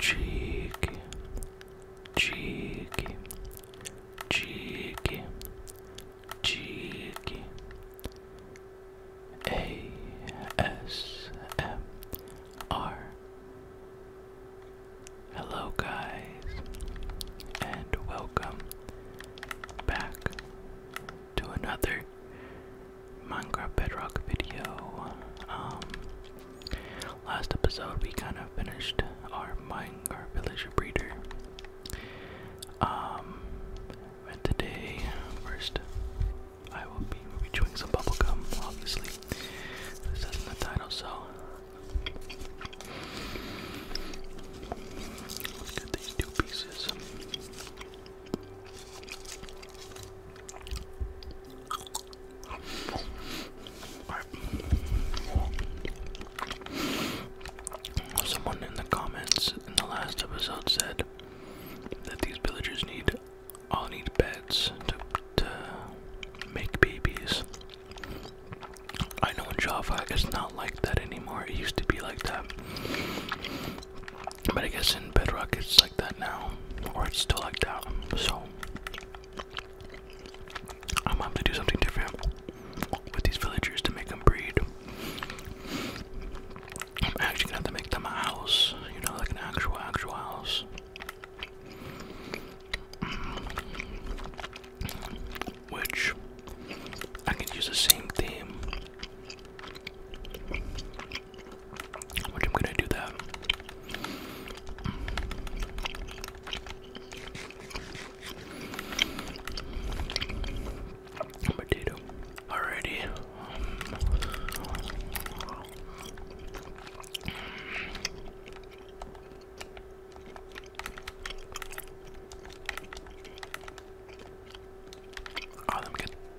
cheeky, cheeky, cheeky, cheeky, A S M R. Hello, guys, and welcome back to another Minecraft Bedrock video. Um, Last episode, we kind of finished our mine, our villager breeder. Um, and today, first, I will be, will be chewing some bubblegum, obviously. this isn't the title, so. look at these two pieces. Someone in the comments in the last episode said that these villagers need all need beds to, to make babies. I know in Java it's not like that anymore. It used to be like that. But I guess in Bedrock it's like that now. Or it's still like that. So I'm gonna do something different with these villagers to make them breed. I'm actually gonna have to make them a house, you know, like an actual, actual house. Which I can use the same theme which I'm gonna do that. Potato. Alrighty. Oh, let me get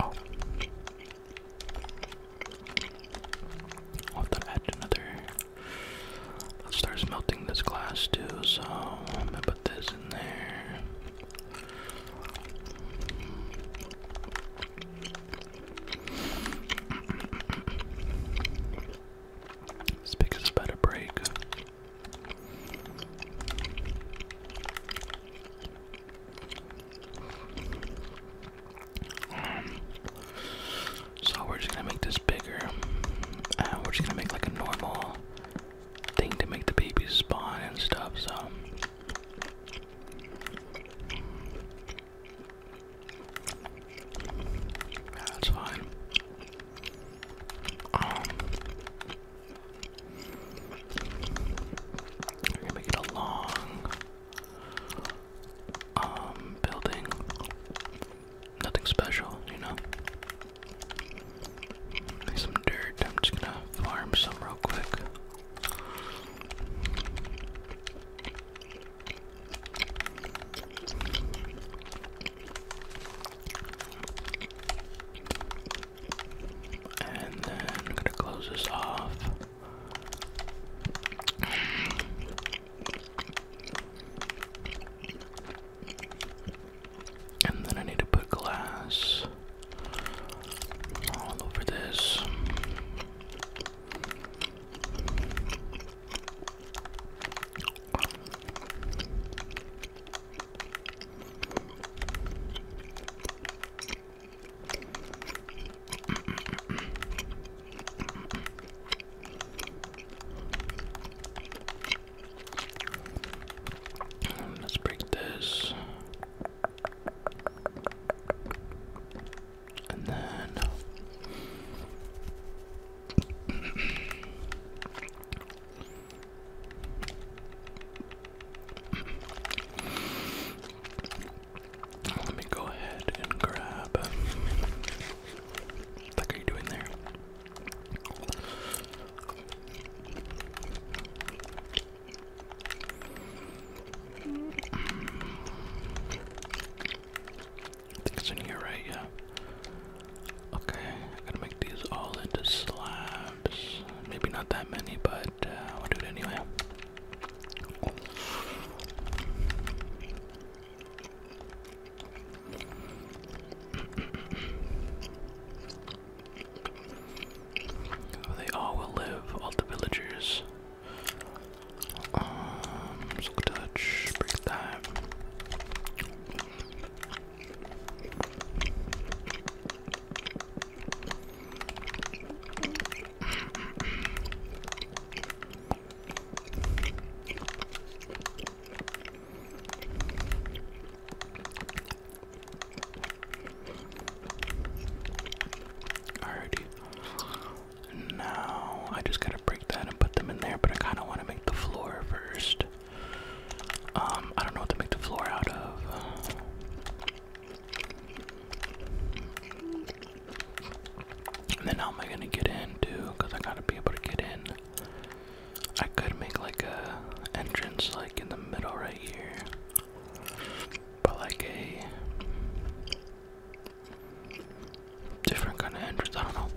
Oh. I'll have to add another. Let's start this glass too, so I'm gonna put this in there. This because it's about to break. Um, so we're just gonna make this bigger. Uh, we're just gonna make like a normal thing to make the babies spawn and stuff. So. That's fine. Um, we're gonna make it a long um, building. Nothing special, you know. some dirt. I'm just gonna farm some real quick. And then I'm gonna close this off. And then I need to put glass all over this. Um, let's break this. And then let me go ahead and grab. What are you doing there? I think it's in here, right? Yeah. Okay, I gotta make these all into slabs. Maybe not that many, but i uh, do it anyway. Oh, they all will live, all the villagers. Um, touch, break that. Alrighty. Now I just gotta break that and put them in there, but I kinda wanna make the floor first. Um, I don't know what to make the floor out of. And then how am I gonna get in too? Cause I gotta be able to get in. I could make like a entrance like in the middle right here. But like a different kind of entrance, I don't know.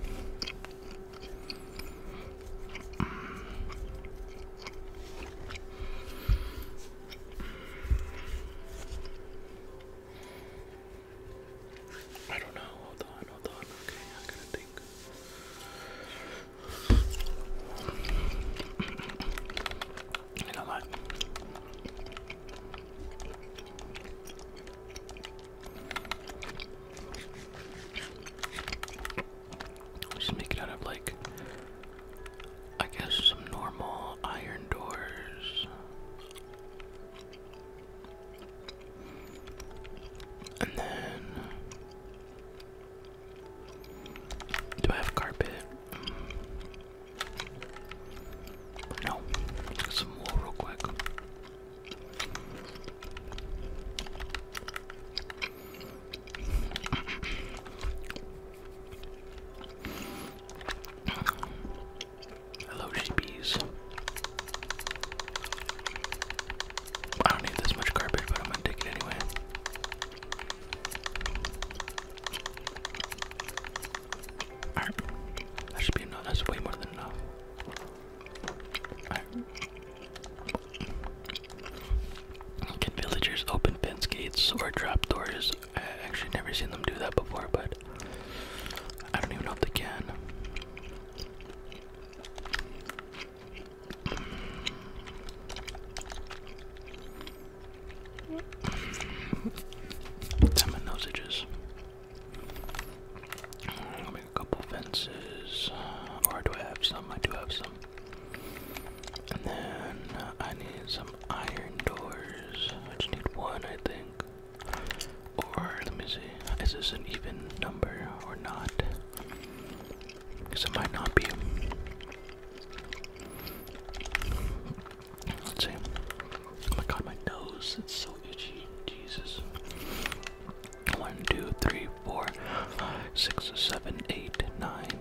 I don't know. Hold on, hold on. Okay, I gotta think. You know what? Just make it out of like, I guess, some normal iron doors. And then. Do I have carpet? Mm. No. some wool real quick. Hello, sheepies. I don't need this much carpet, but I'm gonna take it anyway. That should be enough. That's way more than enough. Can villagers open fence gates or trap doors? I actually never seen them do that before, but I don't even know if they can. Some nosages. make a couple fences. Or do I have some? I do have some. And then uh, I need some iron doors. I just need one, I think. Or, let me see, is this an even number or not? Because it might not be. Let's see. Oh my god, my nose, it's so itchy. Jesus. One, two, three, four, five, six, seven, eight, nine,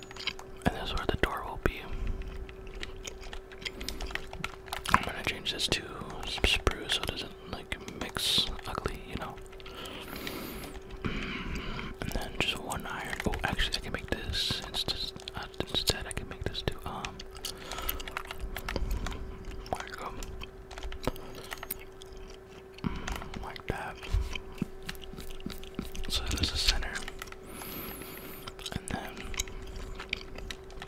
and that's where the door will be. I'm gonna change this to spruce so it doesn't like mix ugly, you know. And then just one iron. Oh, actually, I can make this. Uh, instead I can make this too. Um, mm, Like that. So there's the center. And then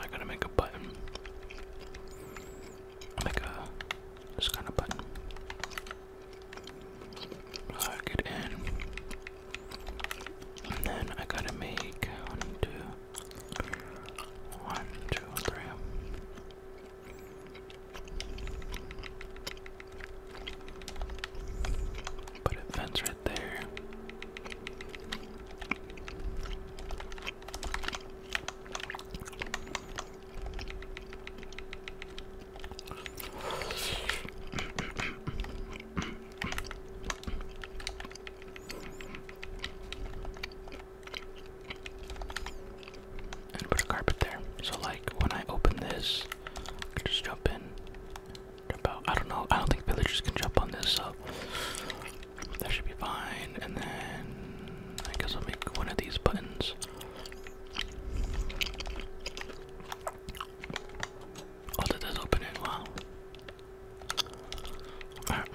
I gotta make a button. Make a this kind of button. Lock it in. And then I gotta make one, two, one, two, three. Put a fence right there. And put a carpet there, so light when I open this, I can just jump in. Jump out. I don't know. I don't think villagers can jump on this, so that should be fine. And then I guess I'll make one of these buttons. Oh, that open it. Wow. Alright.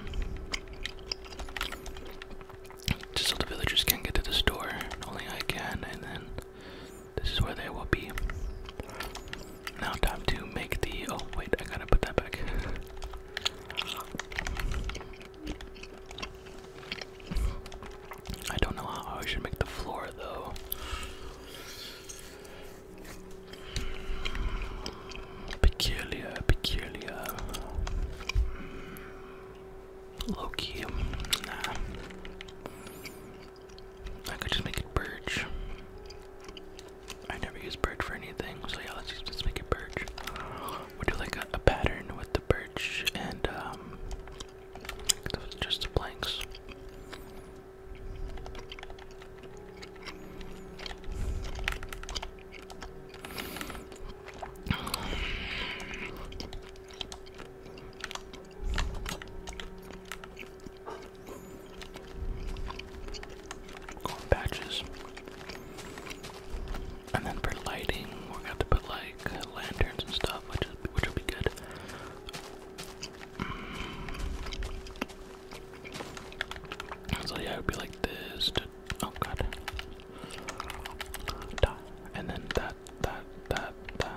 Just so the villagers can't get to this door. Only I can, and then this is where they will be. Now time to make the, oh wait, I gotta put that back. I don't know how I should make the floor though. Peculiar, peculiar. Low I could just make it birch. I never use birch for anything, so yeah, let's just, make it birch. We'll do like a, pattern with the birch and um, just the planks. Corn patches. And then for lighting, we're gonna have to put like lanterns and stuff, which which will be good. Mm. So yeah, it would be like this. oh god. And then the that, that, that,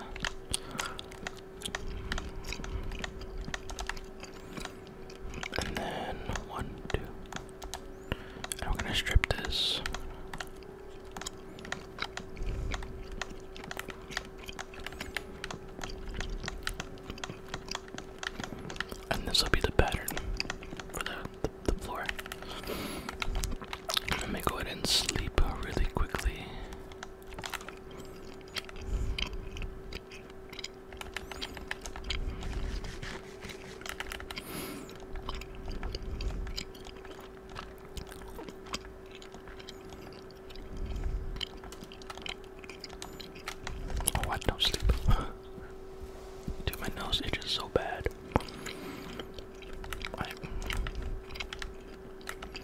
And then one, two. And we gonna strip this. And this will be the pattern for the, the, the floor. Let me go ahead and sleep really quickly. Oh, I don't sleep. Dude, my nose itches so bad.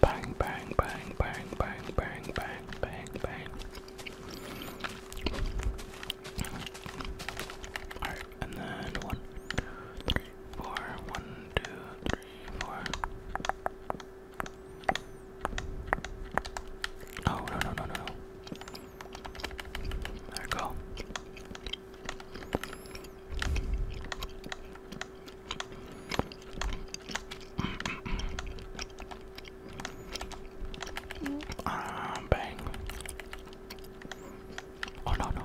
Bang, bang, bang, bang, bang, bang, bang, bang, bang. Alright, and then one, three, four, one, two, three, four. No, oh, no, no, no, no, no. There we go. Ah, bang. Oh no no.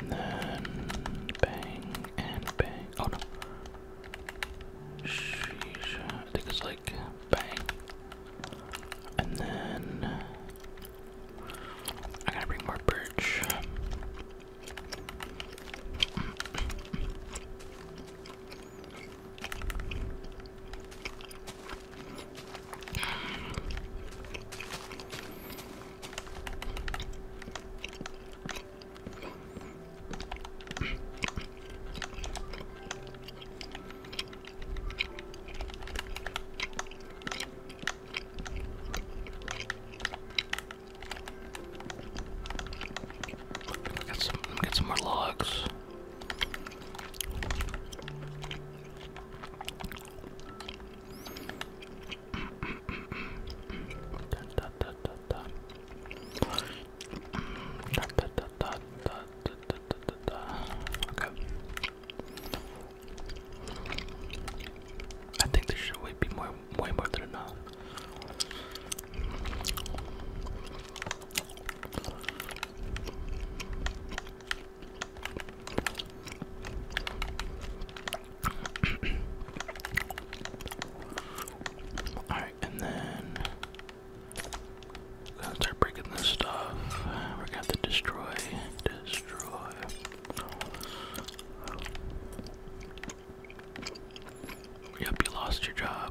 And then bang and bang. Oh no. I think it's like bang. And then I gotta bring more birch. Get some, get some more logs. da, da, da, Okay. I think there should way be more, way more than enough. All right, and then we're to start breaking this stuff. we got to destroy, destroy. Yep, you lost your job.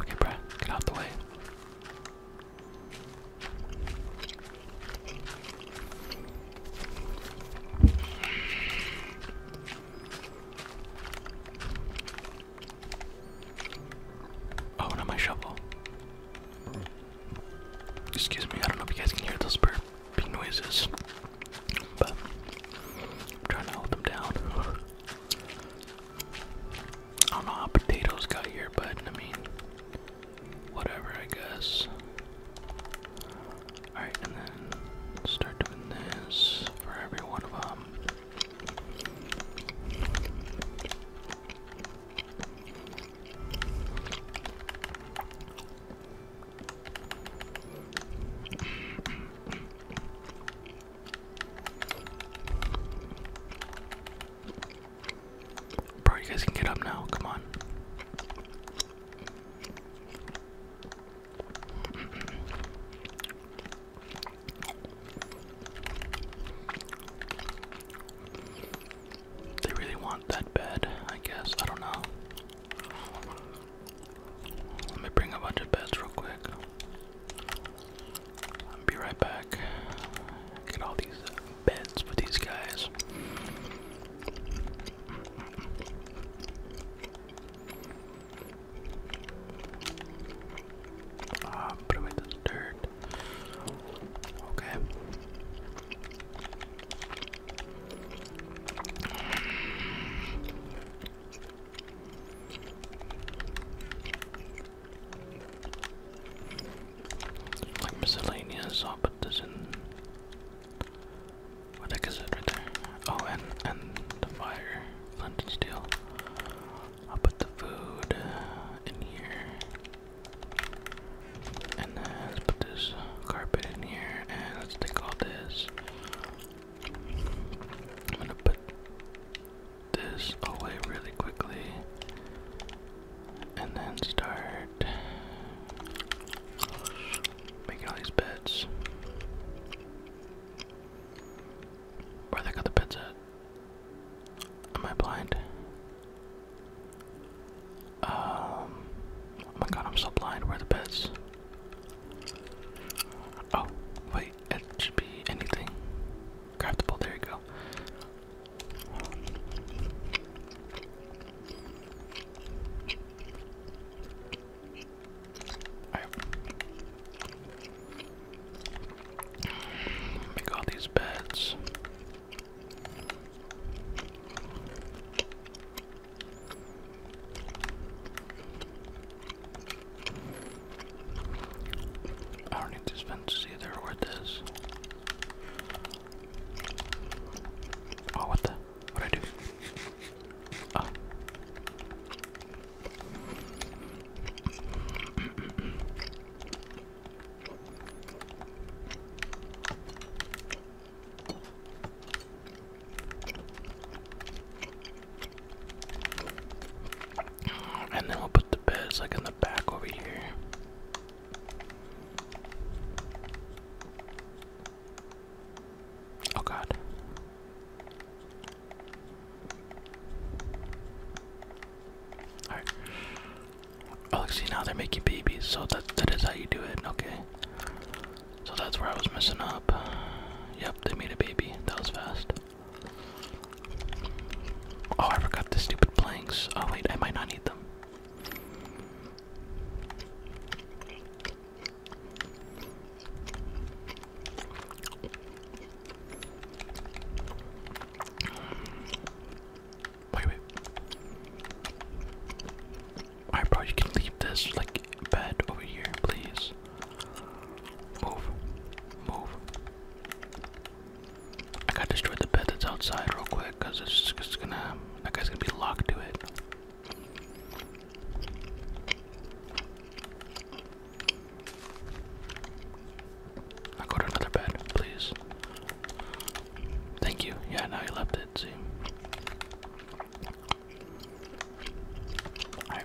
Okay, Brad, get out the way. Oh, not my shovel. Excuse me, I don't know if you guys can hear those burping noises, I'm trying to hold them down. I don't know how potatoes got here, but I mean, whatever, I guess. Alright, and then start doing this for every one of them. Bro, you guys can get up now. Come on. They really want that bed, I guess. I don't know. Let me bring a bunch of beds real quick. I'll be right back. Get all these beds with these guys. Ah, put away this dirt. Okay. Like miscellaneous, I'll put this in. What the heck is it right there? Oh, and, and the fire, flint steel. I'll put the food in here. And then put this carpet in here, and let all this. I'm gonna put this away really quickly and then start making all these beds. Where they got the beds at? Am I blind? Um, oh my god, I'm so blind. Where are the beds? Oh, wait, it should be anything. Craftable, there you go. Make all these beds. I don't need these fences either. Where this? Oh, what the? What I do? Oh. And then we'll put the beds like in the back over here. Oh god. Alright. Oh, see now they're making babies, so that that is how you do it. Okay. So that's where I was messing up. Yep, they made a baby. That was fast. Oh, I forgot the stupid planks. Oh, wait, I might not need them. Wait, wait. Alright, bro, you can leave this, like, bed over here, please. Move. Move. I gotta destroy the bed that's outside real quick, cause it's just gonna, that guy's gonna be locked to it. I'll go to another bed, please. Thank you. Yeah, now you left it, see. Alright.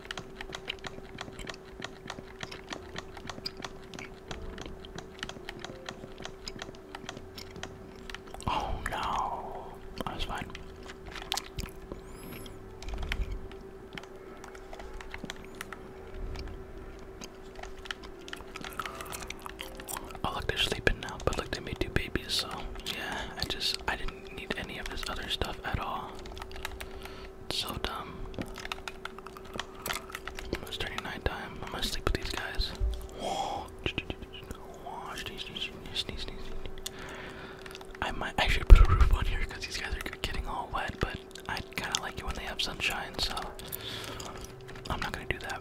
Oh no, that was fine. Oh look, they're sleeping now, but look, they made two babies, so yeah, I just, I didn't didn't need any of this other stuff at all. so dumb. It's turning nighttime. I'm gonna sleep with these guys. I might I should put a roof on here because these guys are getting all wet, but I kind of like it when they have sunshine, so I'm not gonna do that.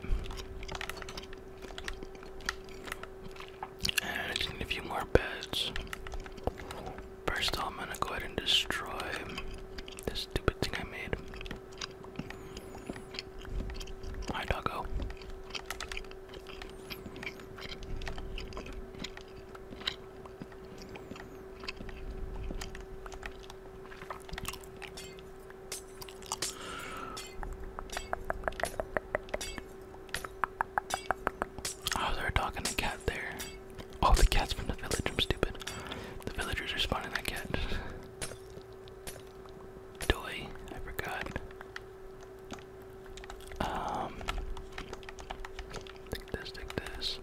And I gonna give you more beds. First I'm gonna go ahead and destroy this stupid thing I made. Hi doggo. Oh, there's a dog and a cat there. Oh, the cat's from the village. I'm stupid. The villagers are spawning that cat. Doy, I forgot. Um, take this, take this.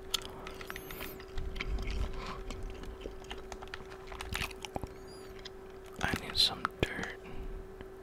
I need some dirt.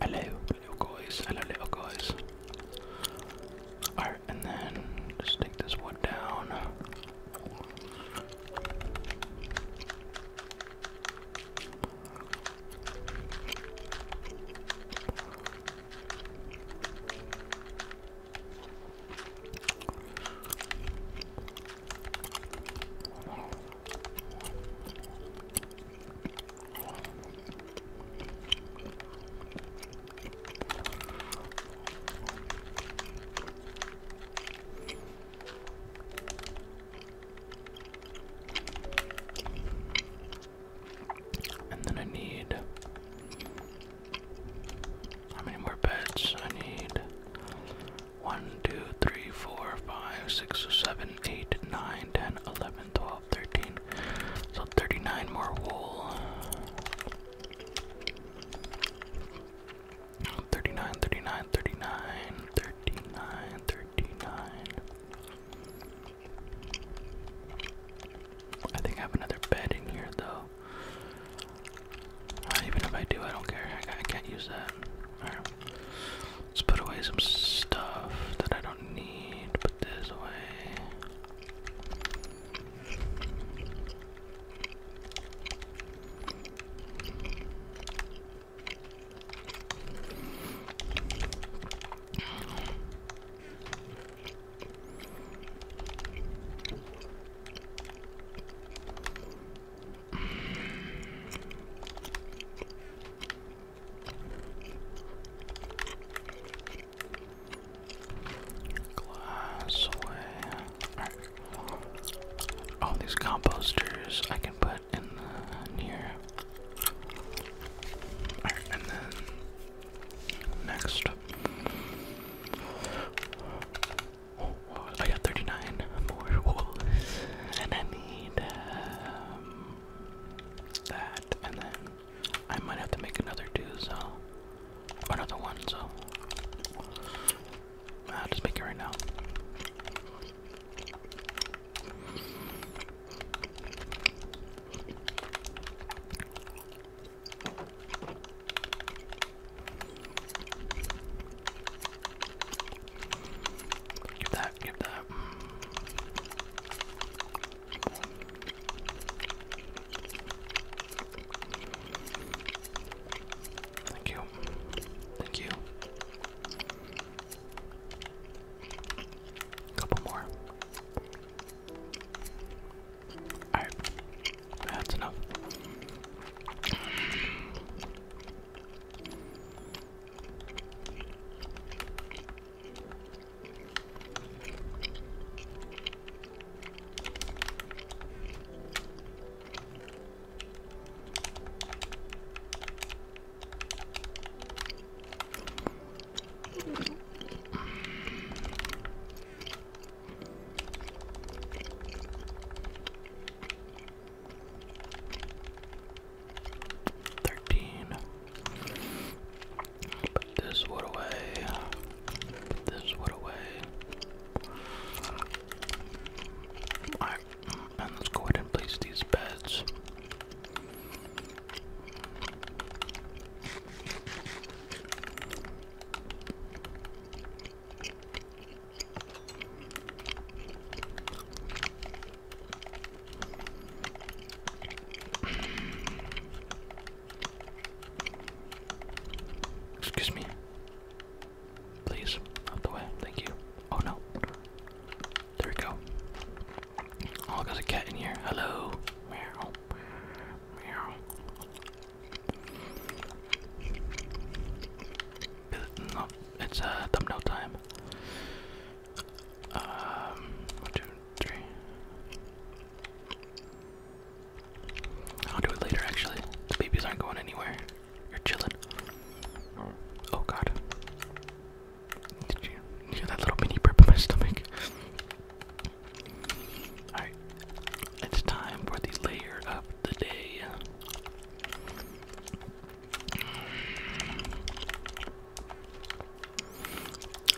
Hello, little guys. Hello, little guys. Alright, and then just take this one down. And then I need how many more beds I need? 1, 2, 3, 4, 5, 6, 7, 8, 9, 10, 11, 12, 13. So 39 more wool. 39, 39, 39, 39, 39. I think I have another bed in here though even if I do, I don't care. I, can't use that. Let's put away some stuff that I don't need. Put this away. Glass All these composters I can put in the here. and then next. I got 39 more wool, and I need um, that, and then I might have to make another two, so, another one, so, I'll just make it right now. Give that, give that. Thank you. Thank you. Couple more. Alright, that's enough. Thirteen. Put this one away. this one away. Alright, and let's go ahead and place these beds. Excuse me. Please, out the way. Thank you. Oh no. There we go. Oh, there's a cat in here. Hello. Meow. Meow. No, it's a uh, thumbnail time. Um, one, two, three. I'll do it later, actually. The babies aren't going anywhere. You're chilling. Oh god. Did you hear that little mini burp in my stomach? Alright, it's time for the layer of the day.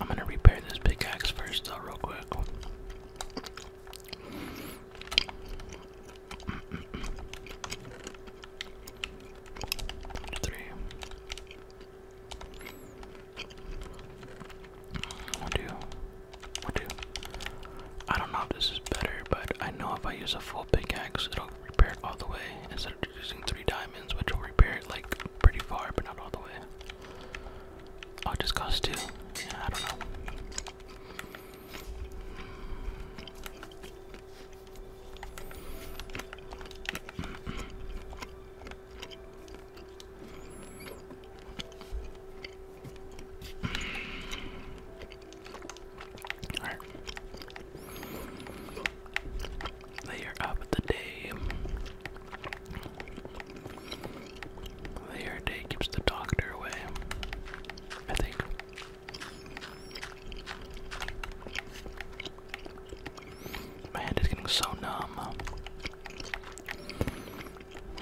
I'm gonna repair this pickaxe first, though, real quick. Three. two, I don't know if this is better, but I know if I use a full pickaxe, it'll repair it all the way instead of using three diamonds, which will repair it like pretty far, but not all the way. Oh, it just costs two. I don't know. Alright. Layer up the day. Layer day keeps the doctor away. I think. My hand is getting so numb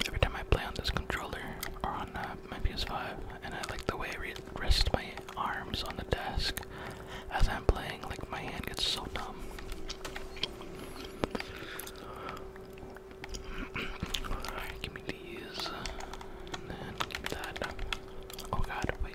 every time I play on this controller or on uh, my PS5, and I like the way I rest my arms on the desk as I'm playing, like my hand gets so numb. Alright, give me these, uh, and then give me that. Oh god, wait.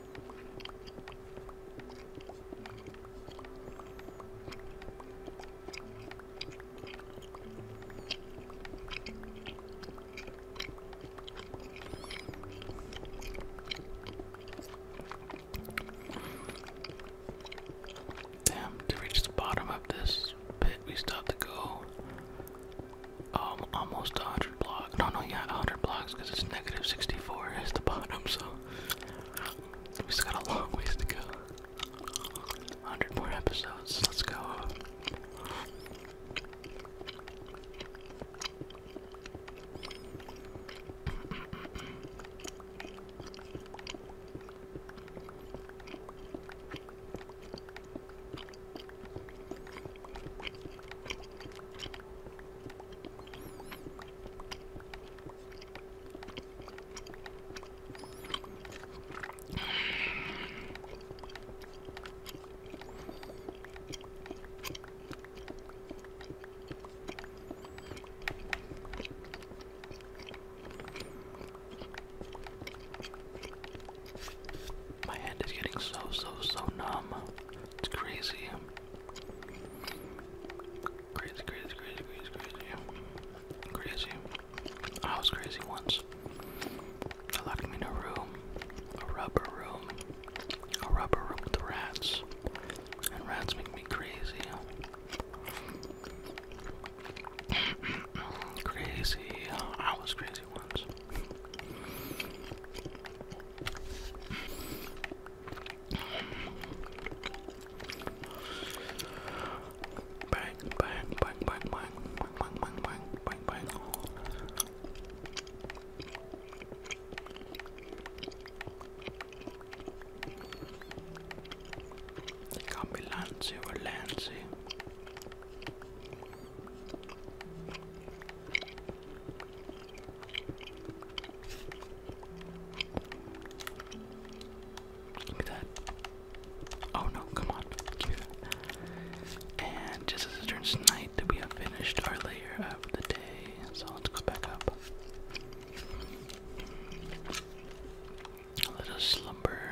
Damn, to reach the bottom of this pit, we still have to go um, almost 100 blocks. No, no, yeah, 100 blocks because it's negative 64 is the bottom, so we still got a long ways to go. 100 more episodes. Let's go. My hand is getting so, so, so numb. It's crazy. Crazy, crazy, crazy, crazy, crazy. Crazy. I was crazy once. They locked me in a room, a rubber room, a rubber room with rats. And rats make me crazy. crazy. I was crazy once. Bang, bang, bang, bang, bang, bang, bang, bang, bang, bang, bang. It can Look at that. Oh no, come on. And just as it turns night, we have finished our layer of the day. So let's go back up. Let us slumber.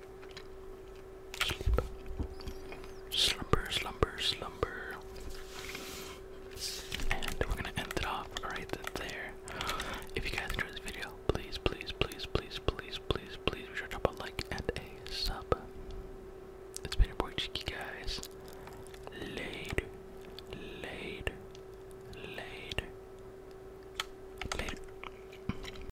Sleep. Slumber, slumber, slumber. And we're gonna end it off right there. If you guys enjoyed this video, please, please, please, please, please, please, please be sure to drop a like and a sub. It's been your boy Cheeky guys. Later, later, later, later.